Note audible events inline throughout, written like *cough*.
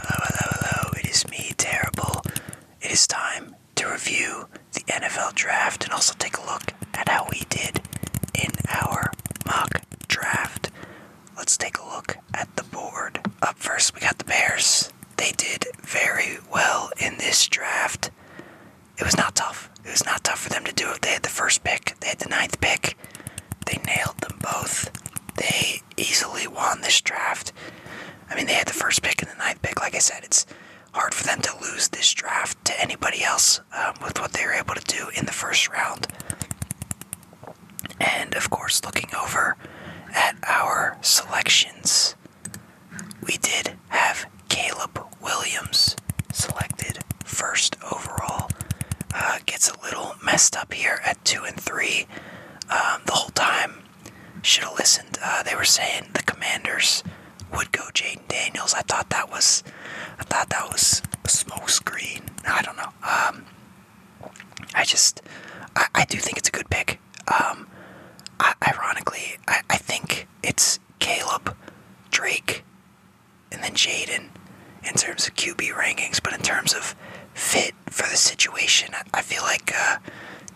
Hello, hello, hello. It is me, Terrible. It is time to review the NFL draft and also take a look at how we did in our mock draft. Let's take a look at the board. Up first, we got the Bears. They did very well in this draft. It was not tough. It was not tough for them to do it. They had the first pick, they had the ninth pick. They nailed them both. They easily won this draft. I mean, they had the first pick and the ninth pick. Like I said, it's hard for them to lose this draft to anybody else um, with what they were able to do in the first round. And of course, looking over at our selections, we did have Caleb Williams selected first overall. Uh, gets a little messed up here at two and three um, the whole time. Should have listened. Uh, they were saying the Commanders would go Jaden Daniels. I thought that was, I thought that was a smokescreen. I don't know. Um, I just, I, do think it's a good pick. Um, ironically, I think it's Caleb, Drake, and then Jaden in terms of QB rankings, but in terms of fit for the situation. I feel like uh,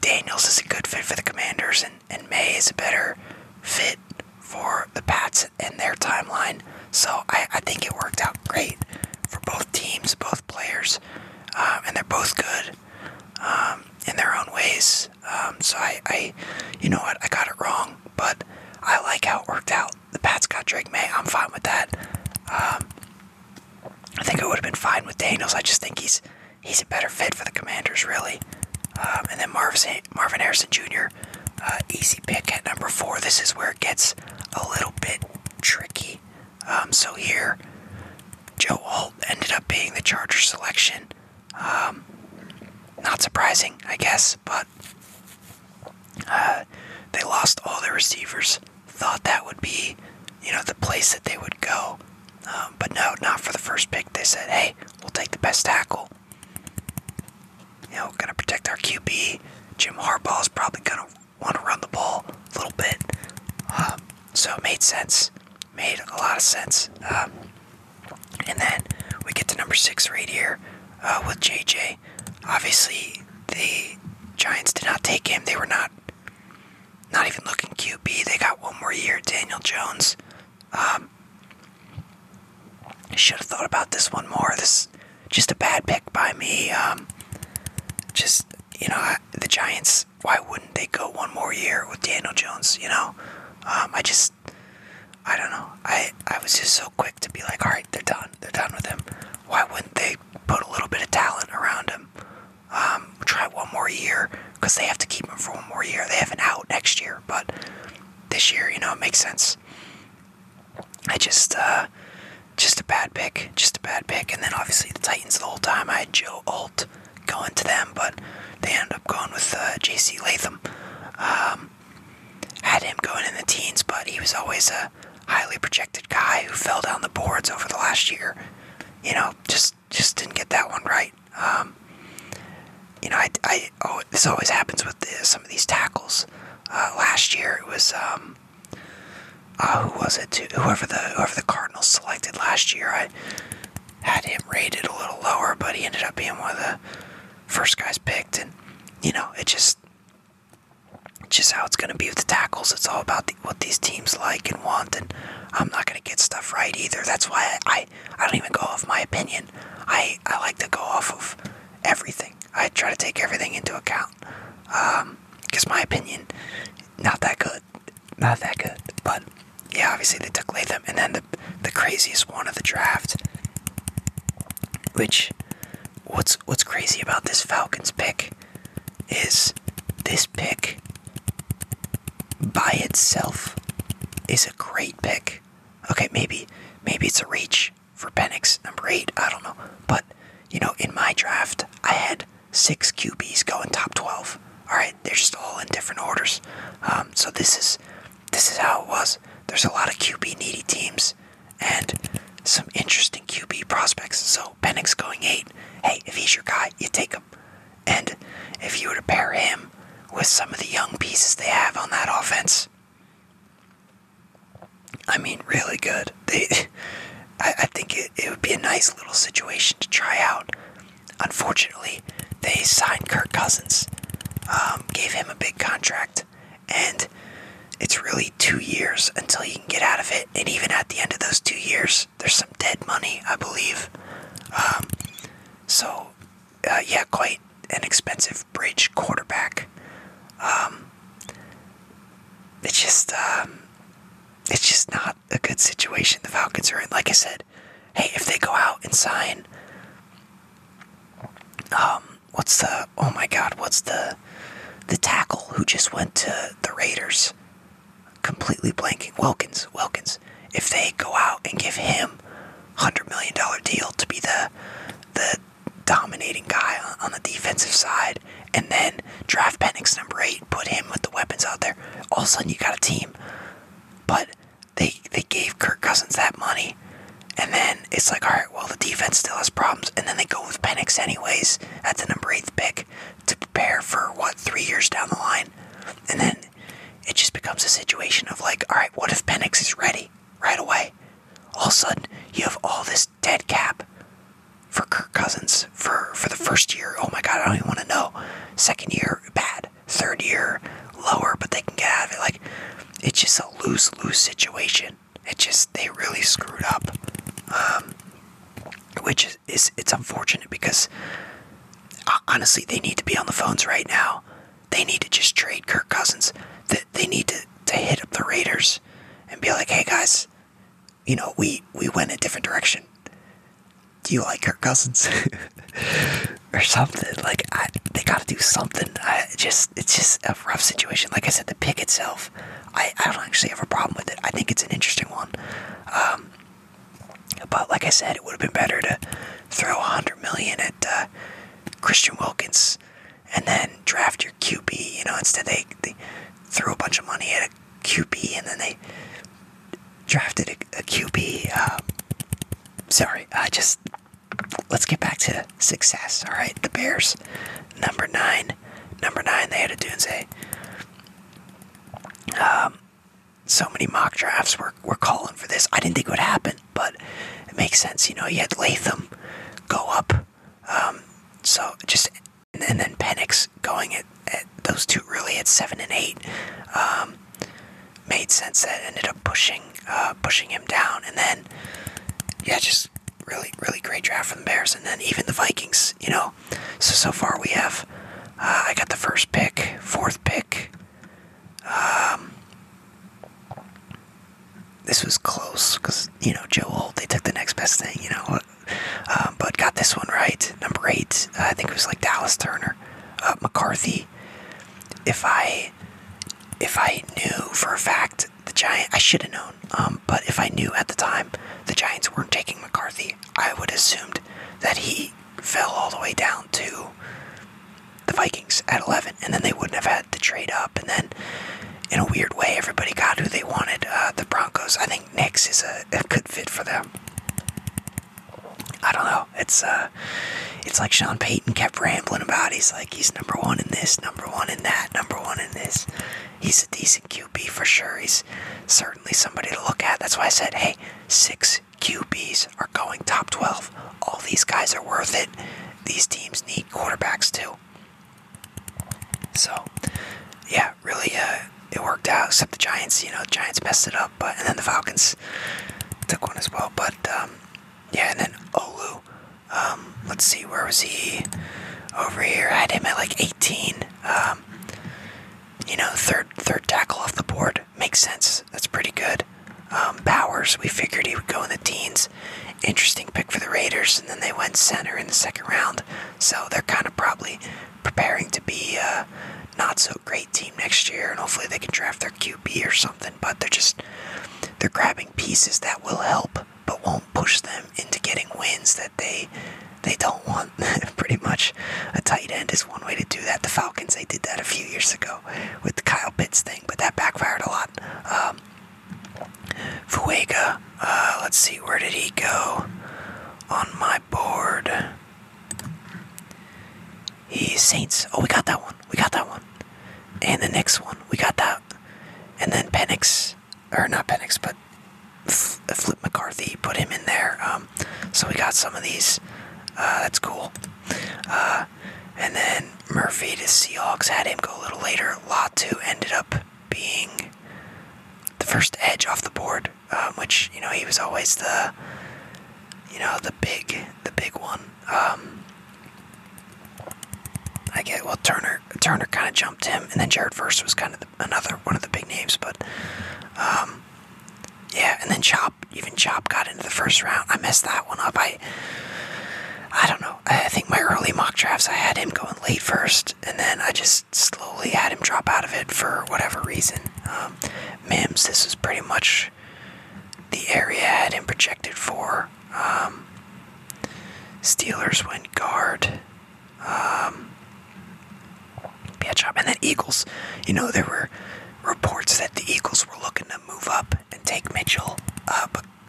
Daniels is a good fit for the Commanders, and, and May is a better fit for the Pats and their timeline. So I, I think it worked out great for both teams, both players, um, and they're both good um, in their own ways. Um, so I, I, you know what, I got it wrong, but I like how it worked out the Pats got Drake May. I'm fine with that. Um, I think it would have been fine with Daniels. I just think he's he's a better fit for the Commanders, really. Um, and then Marvin Marvin Harrison Jr. Uh, easy pick at number four. This is where it gets a little bit tricky. Um, so here, Joe Alt ended up being the Charger selection. not surprising, I guess, but uh, they lost all their receivers. Thought that would be, you know, the place that they would go, um, but no, not for the first pick. They said, "Hey, we'll take the best tackle." You know, gonna protect our QB. Jim Harbaugh's probably gonna want to run the ball a little bit, um, so it made sense. Made a lot of sense. Um, and then we get to number six right here uh, with JJ Obviously, the Giants did not take him. They were not not even looking QB. They got one more year, Daniel Jones. I um, should have thought about this one more. This just a bad pick by me. Um, just you know, the Giants. Why wouldn't they go one more year with Daniel Jones? You know, um, I just I don't know. I I was just so quick to be like, all right, they're done. They're done with him. Why wouldn't they put a little bit of talent around him? Um, try one more year because they have to keep him for one more year. They have an out next year, but this year, you know, it makes sense. I just, uh, just a bad pick, just a bad pick. And then obviously the Titans the whole time. I had Joe Alt going to them, but they end up going with uh, J.C. Latham. Um, had him going in the teens, but he was always a highly projected guy who fell down the boards over the last year. You know, just just didn't get that one right. Um, you know, I, I oh, this always happens with some of these tackles. Uh, last year it was um, uh, who was it? Whoever the whoever the Cardinals selected last year, I had him rated a little lower, but he ended up being one of the first guys picked, and you know, it just just how it's going to be with the tackles. It's all about what these teams like and want, and I'm not going to get stuff right either. That's why I, I, don't even go off my opinion. I, I like to go off of everything. I try to take everything into account because um, my opinion, not that good, not that good. But yeah, obviously they took Latham, and then the the craziest one of the draft, which what's what's crazy about this Falcons pick is this pick by itself is a great pick. Okay, maybe maybe it's a reach for Penix number eight. I don't know, but you know, in my draft, I had six QBs going top twelve. All right, they're just all in different orders. Um, so this is this is how it was. There's a lot of QB needy teams and some interesting QB prospects. So Penix going eight. Hey, if he's your guy, you take him. And if you were to pair him with some of the young pieces they have on that offense, I mean, really good. They, *laughs* I, I think it, would be a nice little situation to try out. Unfortunately, they signed Kirk Cousins, um, gave him a big contract, and it's really two years until you can get out of it. And even at the end of those two years, there's some dead money, I believe. Um, so, uh, yeah, quite an expensive bridge quarterback. Um, it's just, um, it's just not a good situation the Falcons are in. Like I said, hey, if they go out and sign, what's the oh my god, what's the the tackle who just went to the Raiders? Completely blanking. Wilkins, Wilkins. If they go out and give him a hundred million dollar deal to be the the dominating guy on the defensive side, and then draft Penix number eight, put him with the weapons out there. All of a sudden, you got a team. But they they gave Kirk Cousins that money, and then it's like, all right, well, the defense still has problems. And then they go with Penix, anyways, at the number eight pick to prepare for what, three years down the line? And then it just becomes a situation of like, all right, what if Penix is ready right away? All of a sudden, you have all this dead cap for Kirk Cousins for, for the first year. Oh my God, I don't even want to know. Second year, bad. Third year, lower, but they can get out of it. Like, it's just a lose lose situation. It just they really screwed up, um, which is, it's unfortunate because uh, honestly they need to be on the phones right now. They need to just trade Kirk Cousins. That they need to to hit up the Raiders and be like, hey guys, you know we we went a different direction. Do you like Kirk Cousins *laughs* or something? Like they got to do something. I just it's just a rough situation. Like I said, the pick itself, I, I don't actually have a problem with it. I think it's an interesting one. Um, but like I said, it would have been better to throw 100 million at uh, Christian Wilkins and then draft your QB. You know, instead they, they threw a bunch of money at a QB and then they drafted a, QB. Um, sorry, I uh, just let's get back to success. All right, the Bears, number nine, number nine. They had a Doomsday. Um, so many mock drafts were were calling for this. I didn't think it would happen, but it makes sense. You know, he had Latham go up. Um, so just and then Penix going at, those two really at seven and eight. Um, made sense that ended up pushing uh, pushing him down, and then yeah, just really, really great draft for the Bears. And then even the Vikings, you know. So, so far we have, uh, I got the first pick, fourth pick. Um, this was close because, you know, Joe Holt, they took the next best thing, you know. Uh, um, but got this one right, number eight. Uh, I think it was like Dallas Turner, McCarthy, if I if I knew for a fact the Giant I should have known, um, but if I knew at the time the Giants weren't taking McCarthy, I would assumed that he fell all the way down to the Vikings at 11, and then they wouldn't have had to trade up. And then, in a weird way, everybody got who they wanted. Uh, the Broncos. I think Nix is a, good fit for them. I don't know. It's uh, it's like Sean Payton kept rambling about. He's like, he's number one in this, number one in that, number one in this. He's a decent QB for sure. He's certainly somebody to look at. That's why I said, hey, six QBs are going top 12. All these guys are worth it. These teams need quarterbacks too. So, yeah, really, uh, it worked out. Except the Giants, you know, the Giants messed it up, but and then the Falcons took one as well. But um, yeah, and then Olu. Um, let's see, where was he? Over here, I had him at like 18. Um, you know, third third tackle off the board makes sense. That's pretty good. Um, Bowers, we figured he would go in the teens. Interesting pick for the Raiders, and then they went center in the second round. So they're kind of probably preparing to be a not so great team next year, and hopefully they can draft their QB or something. But they're just they're grabbing pieces that will help but won't push them into getting wins that they they don't want. *laughs* Pretty much, a tight end is one way to do that. The Falcons they did that a few years ago with the Kyle Pitts thing, but that backfired a lot. Um, Fuega, uh, let's see, where did he go on my board? He's Saints. Oh, we got that one. We got that one. And the next one. We got that. And then Penix. Or not Penix, but Flip McCarthy put him in there. Um, so we got some of these. Uh, that's cool. Uh, and then Murphy to Seahawks. Had him go a little later. Latu ended up being the first edge off the board, um, which, you know, he was always the, you know, the big, the big one. Um, I get well Turner Turner kind of jumped him, and then Jared Verse was kind of another one of the big names, but um, yeah, and then Chop even Chop got into the first round. I messed that one up. I I don't know. I, think my early mock drafts I had him going late first, and then I just slowly had him drop out of it for whatever reason. Um, Mims, this was pretty much the area had him projected for. Um, Steelers went guard. Um, And then Eagles, you know, there were reports that the Eagles were looking to move up and take Mitchell. Uh,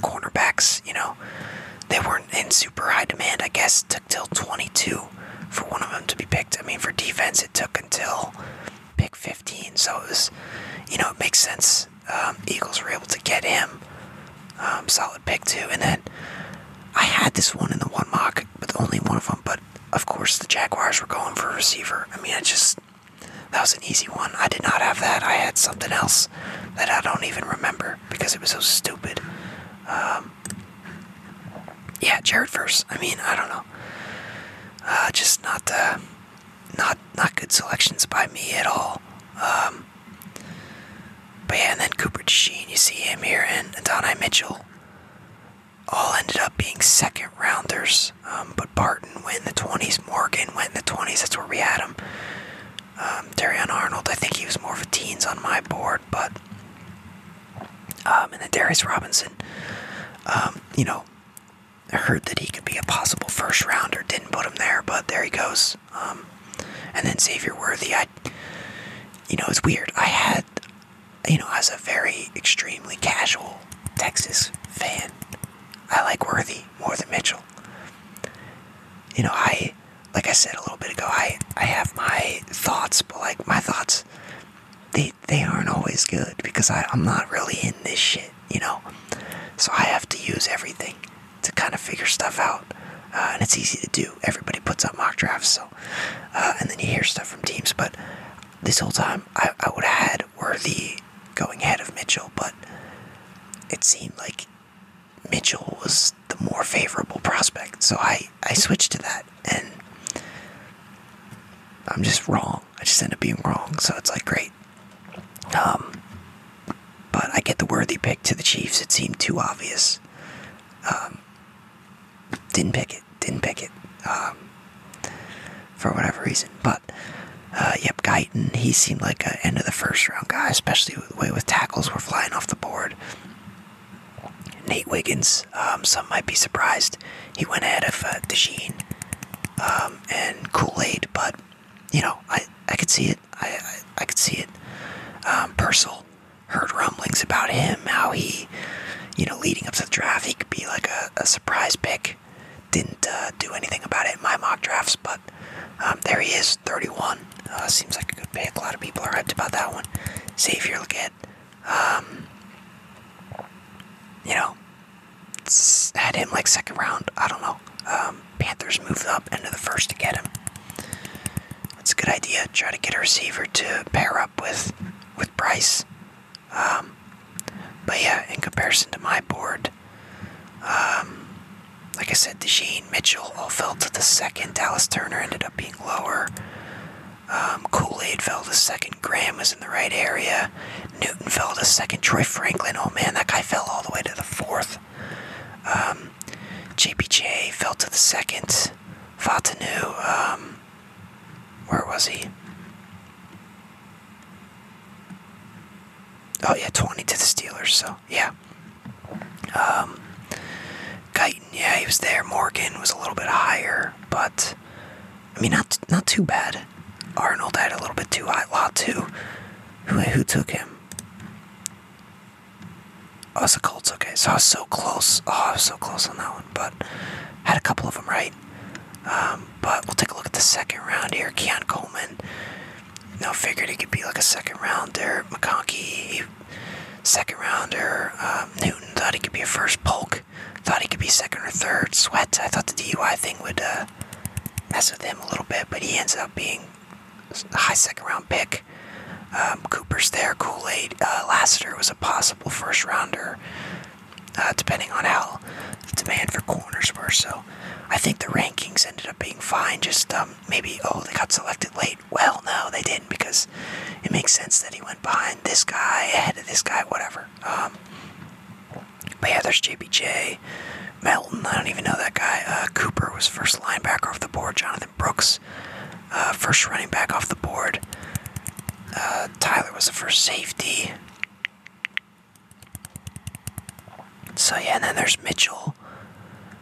cornerbacks, you know, they weren't in super high demand. I guess it took till 22 for one of them to be picked. I mean, for defense, it took until pick 15. So it was, you know, it makes sense. Um, Eagles were able to get him. Um, solid pick too. And then I had this one in the one mock, but only one of them. But of course, the Jaguars were going for a receiver. I mean, it just that was an easy one. I did not have that. I had something else that I don't even remember because it was so stupid. Um, yeah, Jared first. I mean, I don't know. Uh, just not. Uh, not not good selections by me at all. Um, but yeah, and then Cooper Sheen, you see him here, and Adonai Mitchell all ended up being second rounders. Um, but Barton went in the 20s, Morgan went in the 20s, that's where we had him. Um, Darian Arnold, I think he was more of a teens on my board, but. Um, and then Darius Robinson, you know, I heard that he could be a possible first rounder. Didn't put him there, but there he goes. Um, and then Xavier Worthy, I, you know, it's weird. I had, you know, as a very extremely casual Texas fan, I like Worthy more than Mitchell. You know, I, like I said a little bit ago, I, I have my thoughts, but like my thoughts, they they aren't always good because I, am not really in this shit, you know. So I have to use everything to kind of figure stuff out, uh, and it's easy to do. Everybody puts out mock drafts, so uh, and then you hear stuff from teams. But this whole time, I, I would have had Worthy going ahead of Mitchell, but it seemed like Mitchell was the more favorable prospect, so I I switched to that and. I'm just wrong. I just end up being wrong. So it's like great. Um, but I get the worthy pick to the Chiefs. It seemed too obvious. Um, didn't pick it. Didn't pick it. Um, for whatever reason. But uh, yep, Guyton. He seemed like an end of the first round guy, especially with the way with tackles were flying off the board. Nate Wiggins. some might be surprised he went ahead of uh, DeJean um, and Kool-Aid, but you know, I I could see it. I I, could see it. Um, Purcell heard rumblings about him, how he, you know, leading up to the draft, he could be like a, surprise pick. Didn't uh, do anything about it in my mock drafts, but um, there he is, 31. Uh, seems like a good pick. A lot of people are hyped about that one. Xavier Leggett, um, you know, had him like second round. I don't know. Um, Panthers moved up into the first to get him. That's a good idea. Try to get a receiver to pair up with with Bryce. Um, but yeah, in comparison to my board, um, like I said, DeShane Mitchell all fell to the second. Dallas Turner ended up being lower. Um, Kool-Aid fell to second. Graham was in the right area. Newton fell to second. Troy Franklin, oh man, that guy fell all the way to the fourth. JPJ um, fell to the second. Vatanu, um, where was he? Oh yeah, 20 to the Steelers, so yeah. Um, Guyton, yeah, he was there. Morgan was a little bit higher, but I mean, not not too bad. Arnold had a little bit too high. Latu, who who took him? Oh, was the Colts. Okay, so I was so close. Oh, I was so close on that one, but had a couple of them right. Um, but we'll take a look at the second round here. Keon Coleman. Now figured it could be like a second rounder. McConkey, second rounder. Um, Newton thought he could be a first. Polk Thought he could be second or third. Sweat. I thought the DUI thing would uh, mess with him a little bit, but he ends up being a high second round pick. Um, Cooper's there. Kool Aid. Uh, Lassiter was a possible first rounder, uh, depending on how the demand for corners were. So I think the rankings ended up being fine. Just um, maybe, oh, they got selected late. Well, no, they didn't because it makes sense that he went behind this guy, ahead of this guy, whatever. Um, but yeah, there's JBJ, Melton. I don't even know that guy. Uh, Cooper was first linebacker off the board. Jonathan Brooks, uh, first running back off the board. Uh, Tyler was the first safety. So yeah, and then there's Mitchell,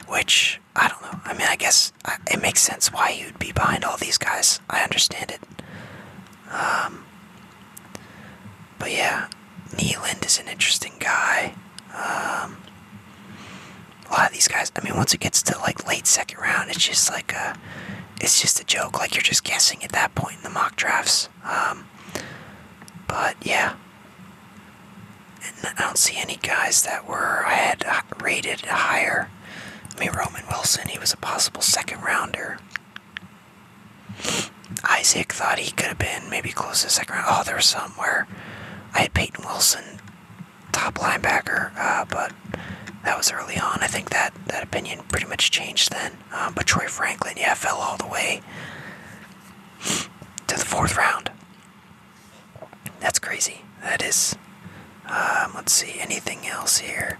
which I don't know. I mean, I guess it makes sense why you'd be behind all these guys. I understand it. Um, but yeah, Nealand is an interesting guy. Um, a lot of these guys, I mean, once it gets to like late second round, it's just like a, it's just a joke. Like you're just guessing at that point in the mock drafts. Um, but yeah, I don't see any guys that were had rated higher. I mean, Roman Wilson, he was a possible second rounder. Isaac thought he could have been maybe close to second round. Oh, there was some I had Peyton Wilson, top linebacker, uh, but that was early on. I think that, that opinion pretty much changed then. Um, but Troy Franklin, yeah, fell all the way to the fourth round. That's crazy. That is um, let's see, anything else here?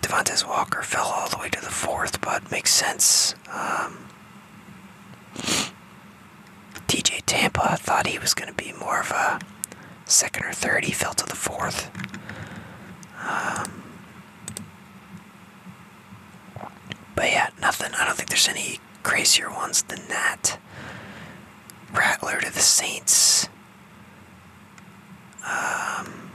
Devontae Walker fell all the way to the fourth, but makes sense. Um, DJ Tampa, thought he was going to be more of a second or third. He fell to the fourth. Um, but yeah, nothing. I don't think there's any crazier ones than that. Rattler to the Saints. Um,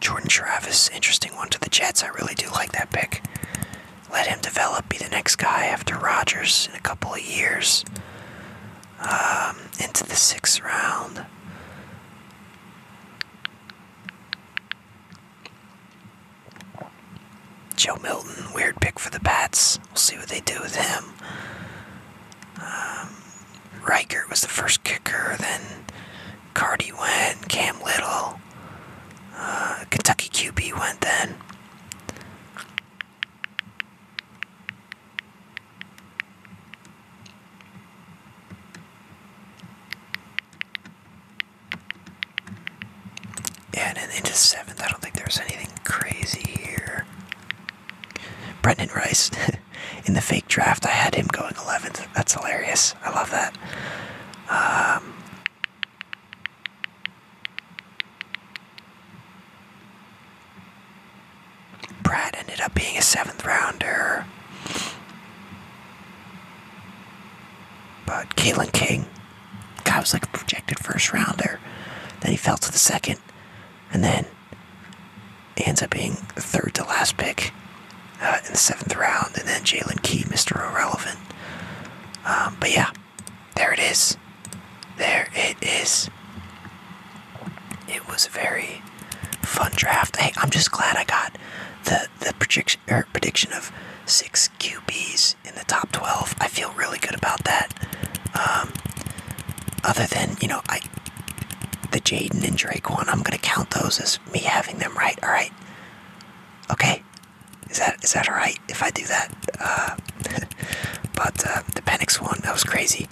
Jordan Travis, interesting one to the Jets. I really do like that pick. Let him develop, be the next guy after Rodgers in a couple of years. Um, into the sixth round. Joe Milton, weird pick for the Pats. We'll see what they do with him. Um, Riker was the first kicker, then Cardi went, Cam Little, uh, Kentucky QB went then and then into seventh, I don't think there's anything crazy here. Brendan Rice, *laughs* in the fake draft, I had him going 11th. That's hilarious. I love that. Um, ended up being a seventh rounder. But Kalen King, guy was like a projected first rounder. Then he fell to the second. And then ends up being third to last pick uh, in the seventh round. And then Jalen Key, Mr. Irrelevant. Um, but yeah, there it is. There it is. It was a very fun draft. Hey, I'm just glad I got the the prediction er, prediction of six six QBs in the top 12. I feel really good about that. Um, other than, you know, the Jaden and Drake one, I'm gonna count those as me having them right. All right. Okay. Is that is that all right if I do that? Uh, *laughs* but uh, the Penix one, that was crazy.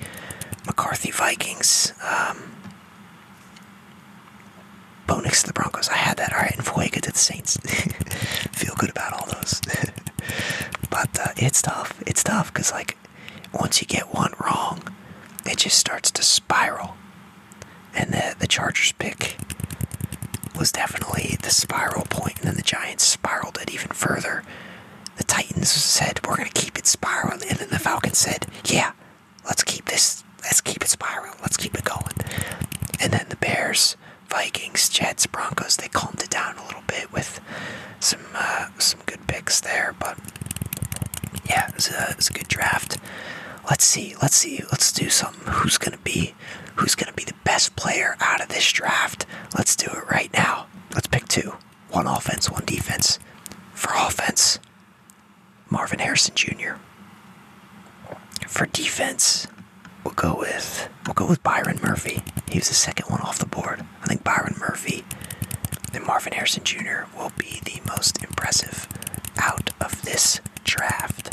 McCarthy Vikings. Um, Bo next to the Broncos. I had that. All right, and Fuega to the Saints. *laughs* Feel good about all those. *laughs* but uh, it's tough. It's tough because, like, once you get one wrong, it just starts to spiral. And the, the Chargers pick was definitely the spiral point, and then the Giants spiraled it even further. The Titans said, We're going to keep it spiraling, and then the Falcons said, Yeah, let's keep this let's keep it spiraling, let's keep it going. And then the Bears, Vikings, Jets, Broncos, they calmed it down a little bit with some uh, some good picks there, but yeah, it's a, a good draft. Let's see, let's see, let's do some. Who's gonna be who's gonna be the best player out of this draft? Let's do it right now. Let's pick two. One offense, one defense. For offense, Marvin Harrison Jr. For defense, we'll go with we'll go with Byron Murphy. He was the second one off the board. I think Byron Murphy and Marvin Harrison Jr. will be the most impressive out of this draft.